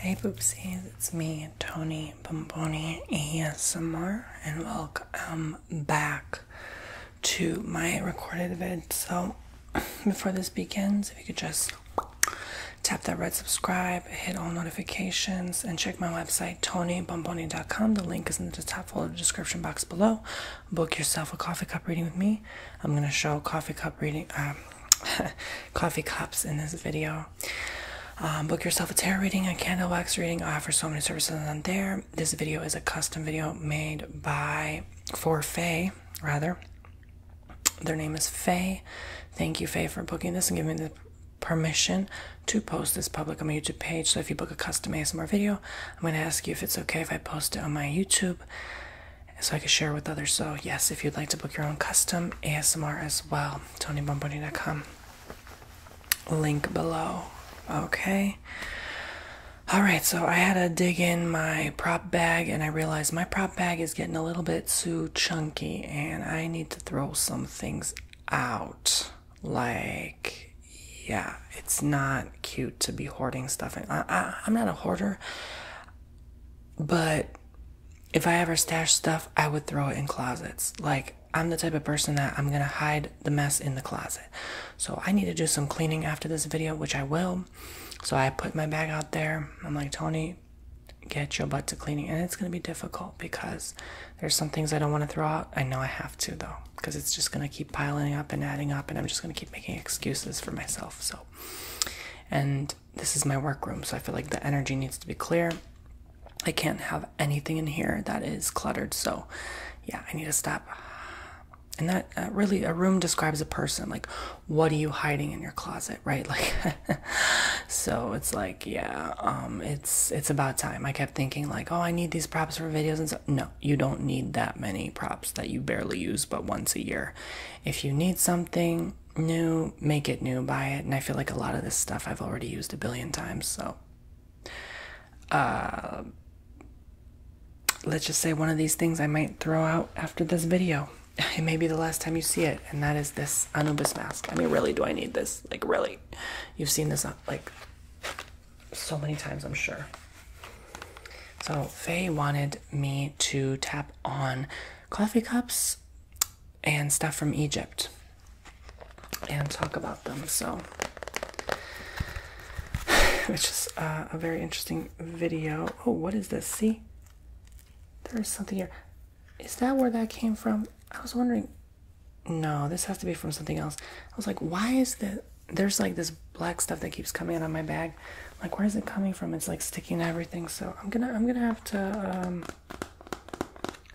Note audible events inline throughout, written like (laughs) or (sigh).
Hey Boopsies, it's me, Tony Bomboni ASMR, and welcome back to my recorded vid. So, (clears throat) before this begins, if you could just tap that red subscribe, hit all notifications, and check my website, tonybomboni.com. The link is in the top folder description box below. Book yourself a coffee cup reading with me. I'm going to show coffee cup reading, uh, (laughs) coffee cups in this video. Um, book yourself a tarot reading, a candle wax reading. I offer so many services on there. This video is a custom video made by for Faye, rather. Their name is Faye. Thank you, Faye, for booking this and giving me the permission to post this public on my YouTube page. So if you book a custom ASMR video, I'm going to ask you if it's okay if I post it on my YouTube so I could share with others. So, yes, if you'd like to book your own custom ASMR as well, TonyBomboni.com. Link below. Okay. All right, so I had to dig in my prop bag and I realized my prop bag is getting a little bit too chunky and I need to throw some things out. Like, yeah, it's not cute to be hoarding stuff. I, I'm not a hoarder. But if I ever stash stuff, I would throw it in closets. Like, I'm the type of person that I'm gonna hide the mess in the closet. So, I need to do some cleaning after this video, which I will. So, I put my bag out there. I'm like, Tony, get your butt to cleaning. And it's gonna be difficult because there's some things I don't wanna throw out. I know I have to, though, because it's just gonna keep piling up and adding up, and I'm just gonna keep making excuses for myself. So, and this is my workroom so i feel like the energy needs to be clear i can't have anything in here that is cluttered so yeah i need to stop and that uh, really a room describes a person like what are you hiding in your closet right (laughs) like so it's like yeah um, it's it's about time i kept thinking like oh i need these props for videos and so no you don't need that many props that you barely use but once a year if you need something new, make it new, buy it. And I feel like a lot of this stuff I've already used a billion times, so uh let's just say one of these things I might throw out after this video. (laughs) It may be the last time you see it, and that is this Anubis mask. I mean, really, do I need this? Like, really? You've seen this uh, like so many times, I'm sure. So Faye wanted me to tap on coffee cups and stuff from Egypt and talk about them. So, (sighs) which is uh, a very interesting video. Oh, what is this? See, there's something here. Is that where that came from? I was wondering. No, this has to be from something else. I was like, why is this? there's like this black stuff that keeps coming out of my bag. like, where is it coming from? It's like sticking to everything. So I'm gonna I'm gonna have to um,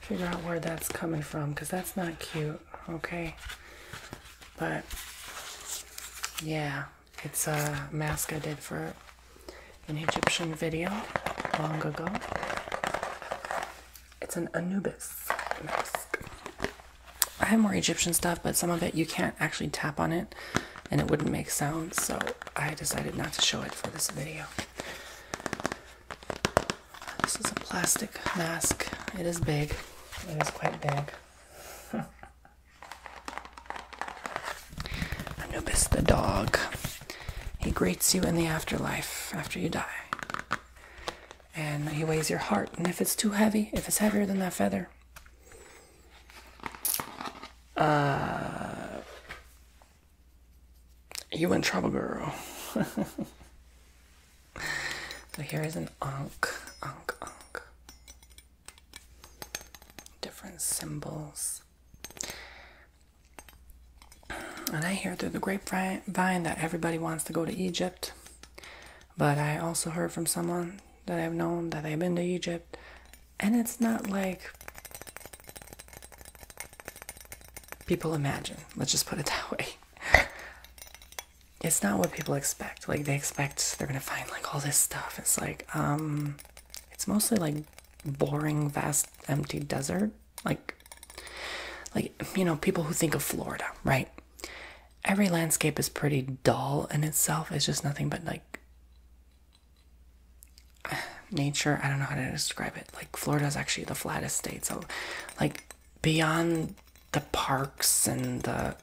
figure out where that's coming from because that's not cute. Okay, but yeah, it's a mask I did for an Egyptian video long ago. It's an Anubis mask. I have more Egyptian stuff, but some of it you can't actually tap on it and it wouldn't make sound, so I decided not to show it for this video. This is a plastic mask. It is big. It is quite big. (laughs) Anubis the dog. He greets you in the afterlife after you die. And he weighs your heart. And if it's too heavy, if it's heavier than that feather, uh, you in trouble, girl. so (laughs) here is an unk, unk, unk. Different symbols. And I hear through the grapevine that everybody wants to go to Egypt. But I also heard from someone that I've known that they've been to Egypt, and it's not like people imagine. Let's just put it (laughs) that way. it's not what people expect. Like they expect they're gonna find like all this stuff. It's like um, it's mostly like boring, vast, empty desert. Like, like you know, people who think of Florida, right? every landscape is pretty dull in itself. It's just nothing but like (sighs) nature. I don't know how to describe it. Like Florida is actually the flattest state. So, like beyond the parks and the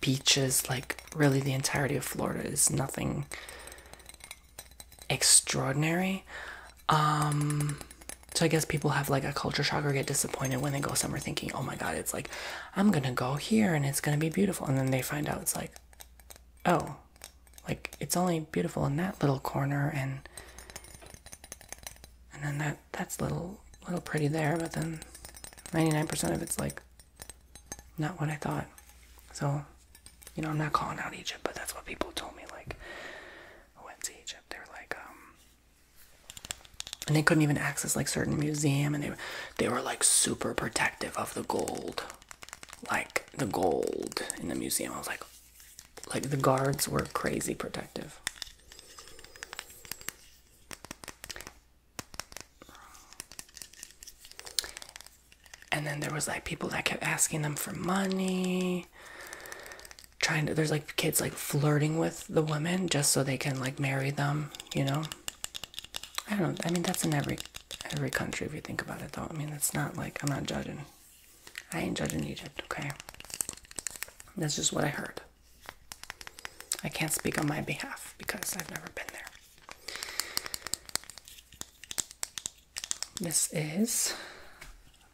beaches, like really the entirety of Florida is nothing extraordinary. Um, so I guess people have like a culture shock or get disappointed when they go somewhere thinking, oh my god, it's like, I'm gonna go here and it's gonna be beautiful. And then they find out it's like, oh, like it's only beautiful in that little corner and and then that that's little little pretty there, but then 99% of it's like not what I thought. So, you know, I'm not calling out Egypt, but that's what people told me. Like, I went to Egypt. They were like, um, and they couldn't even access like certain museum and they they were like super protective of the gold like the gold in the museum i was like like the guards were crazy protective and then there was like people that kept asking them for money trying to there's like kids like flirting with the women just so they can like marry them, you know. I don't know. I mean that's in every every country if you think about it though. I mean that's not like I'm not judging. I ain't judging Egypt, okay? That's just what I heard. I can't speak on my behalf because I've never been there. This is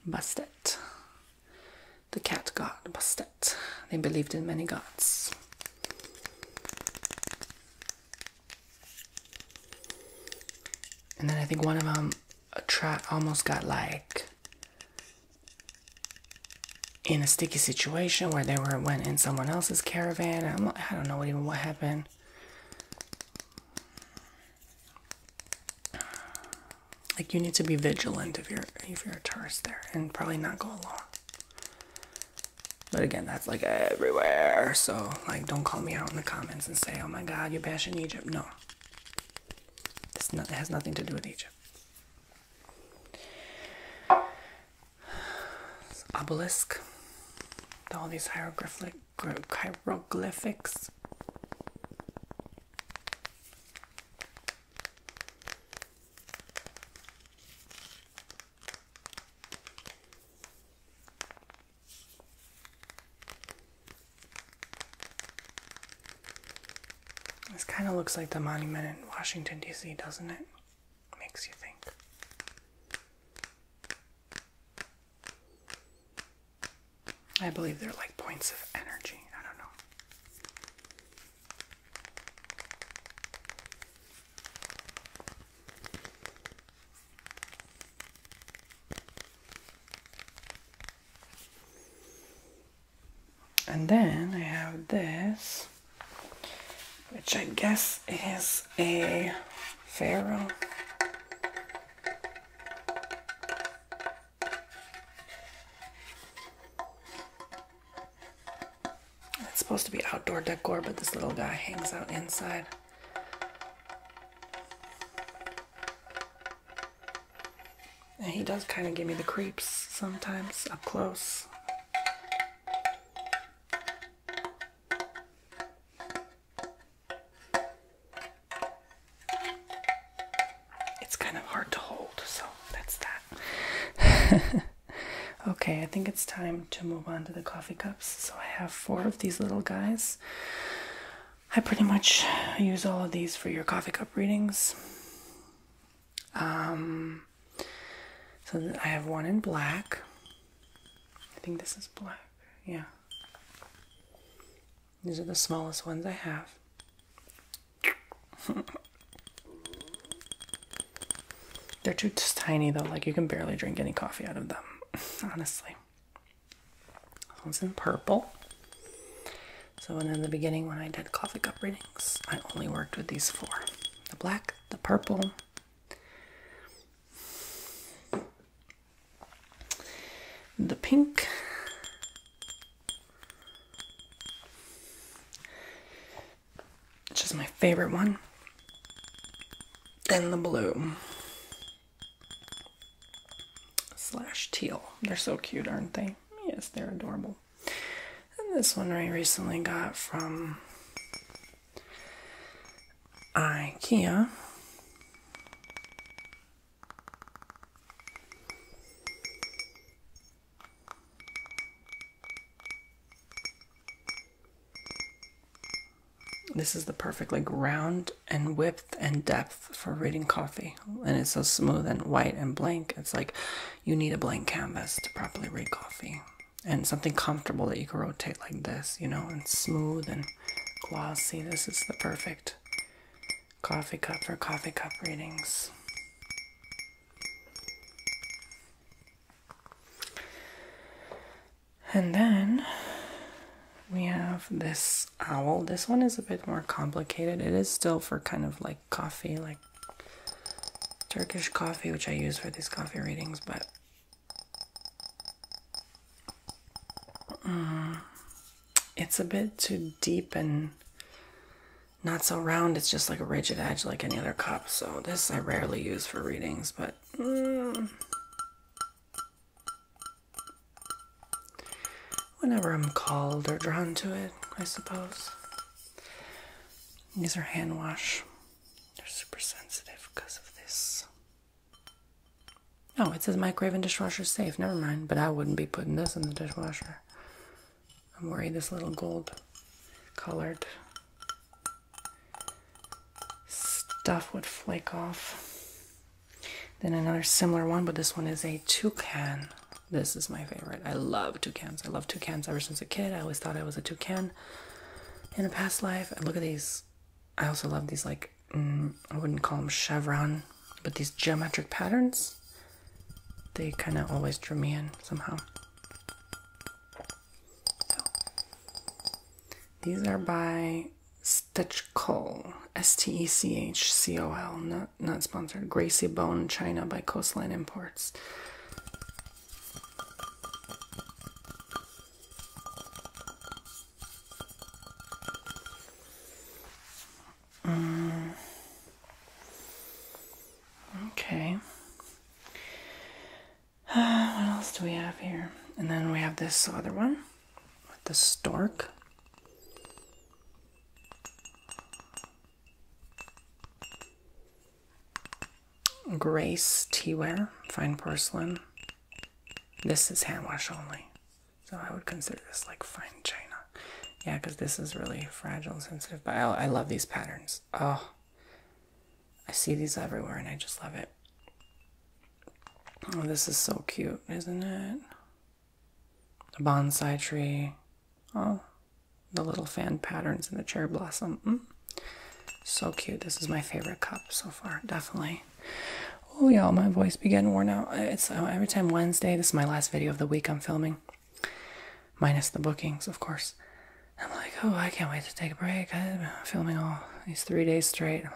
Bustet the cat god Bastet. They believed in many gods. And then I think one of them almost got like in a sticky situation where they were went in someone else's caravan. i I do not know what even what happened like you need to be vigilant if you're if you're a tourist there and probably not go alone but again that's like everywhere so like don't call me out in the comments and say oh my god you're bashing egypt no it's it has nothing to do with egypt obelisk all these hieroglyphic hieroglyphics this kind of looks like the monument in Washington, D.C., doesn't it? Makes you think. I believe they're like points of energy. I don't know. And then I have this, which I guess is a pharaoh. It's supposed to be outdoor decor, but this little guy hangs out inside. And he does kind of give me the creeps sometimes up close. It's kind of hard to hold, so that's that. (laughs) okay, I think it's time to move on to the coffee cups. So I have four of these little guys. I pretty much use all of these for your coffee cup readings. Um, so I have one in black. I think this is black. Yeah. These are the smallest ones I have. (laughs) They're too tiny though, like you can barely drink any coffee out of them, (laughs) honestly. This one's in purple. So, in the beginning, when I did coffee cup readings, I only worked with these four the black, the purple, the pink which is my favorite one then the blue slash teal they're so cute aren't they yes they're adorable and this one i recently got from ikea this is the perfect like round and width and depth for reading coffee. And it's so smooth and white and blank. It's like you need a blank canvas to properly read coffee. And something comfortable that you can rotate like this, you know, and smooth and glossy. This is the perfect coffee cup for coffee cup readings. And then we have this owl. This one is a bit more complicated. It is still for kind of like coffee, like Turkish coffee, which I use for these coffee readings, but Mm, it's a bit too deep and not so round. It's just like a rigid edge, like any other cup. So, this I rarely use for readings, but. Mm. whenever I'm called or drawn to it, I suppose. These are hand wash. They're super sensitive because of this no, it says microwave and dishwasher safe. Never mind. But I wouldn't be putting this in the dishwasher. I'm worried this little gold colored stuff would flake off. Then another similar one, but this one is a toucan. This is my favorite. I love toucans. I love toucans ever since a kid. I always thought I was a toucan in a past life. And look at these I also love these like mm, I wouldn't call them chevron, but these geometric patterns. They kind of always drew me in somehow. these are by Stitch Stechcol, S-T-E-C-H-C-O-L, not not sponsored. Gracie Bone China by Coastline Imports. Mm. Okay. (sighs) what else do we have here? And then we have this other one with the stork. Grace Teaware, fine porcelain. This is hand wash only. So I would consider this like fine china. Yeah, because this is really fragile and sensitive. But I, love these patterns. Oh, I see these everywhere and I just love it. Oh, this is so cute, isn't it? The bonsai tree. Oh, the little fan patterns and the cherry blossom. Mm. So cute. This is my favorite cup so far, definitely. Oh, y'all, my voice began worn out. It's uh, every time Wednesday. This is my last video of the week I'm filming, minus the bookings, of course. I'm like, oh, I can't wait to take a break. i have been filming all these three days straight. (sighs)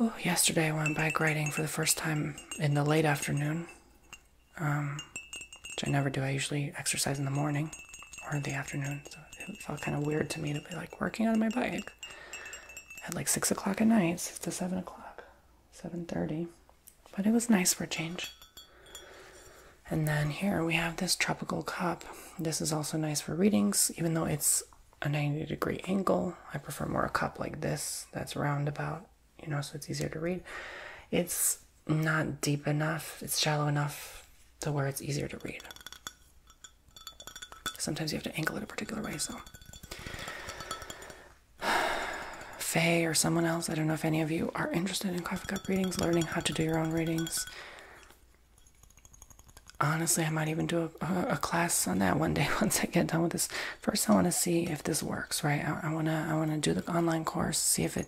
Oh, yesterday I went bike riding for the first time in the late afternoon, um, which I never do. I usually exercise in the morning or the afternoon it felt kind of weird to me to be like working on my bike at like six o'clock at night, six to seven o'clock, seven thirty. But it was nice for a change. And then here we have this tropical cup. This is also nice for readings, even though it's a 90 degree angle. I prefer more a cup like this that's roundabout, you know, so it's easier to read. It's not deep enough, it's shallow enough to where it's easier to read. Sometimes you have to angle it a particular way, so. (sighs) Faye or someone else, I don't know if any of you are interested in coffee cup readings, learning how to do your own readings. Honestly, I might even do a, class on that one day (laughs) once I get done with this. First, I want to see if this works, right? I wanna I wanna do the online course, see if it,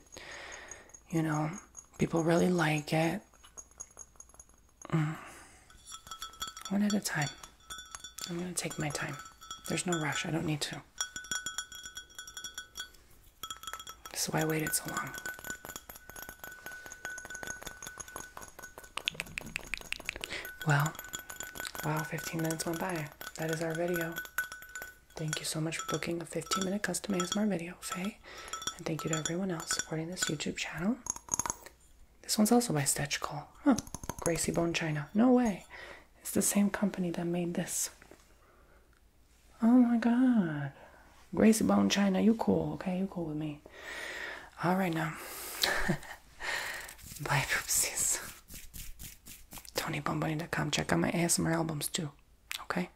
you know, people really like it. (sighs) One at a time. I'm going to take my time. There's no rush. I don't need to. This is why I waited so long. Well, wow, 15 minutes went by. That is our video. Thank you so much for booking a 15 minute custom ASMR video, Faye. And thank you to everyone else supporting this YouTube channel. This one's also by Stitch Call. Huh. Gracie Bone China. No way. It's the same company that made this. Oh my god. Gracie Bone China, you cool, okay? You cool with me. Alright now. (laughs) Bye poopsies. TonyBomboni.com. Check out my ASMR albums too. Okay?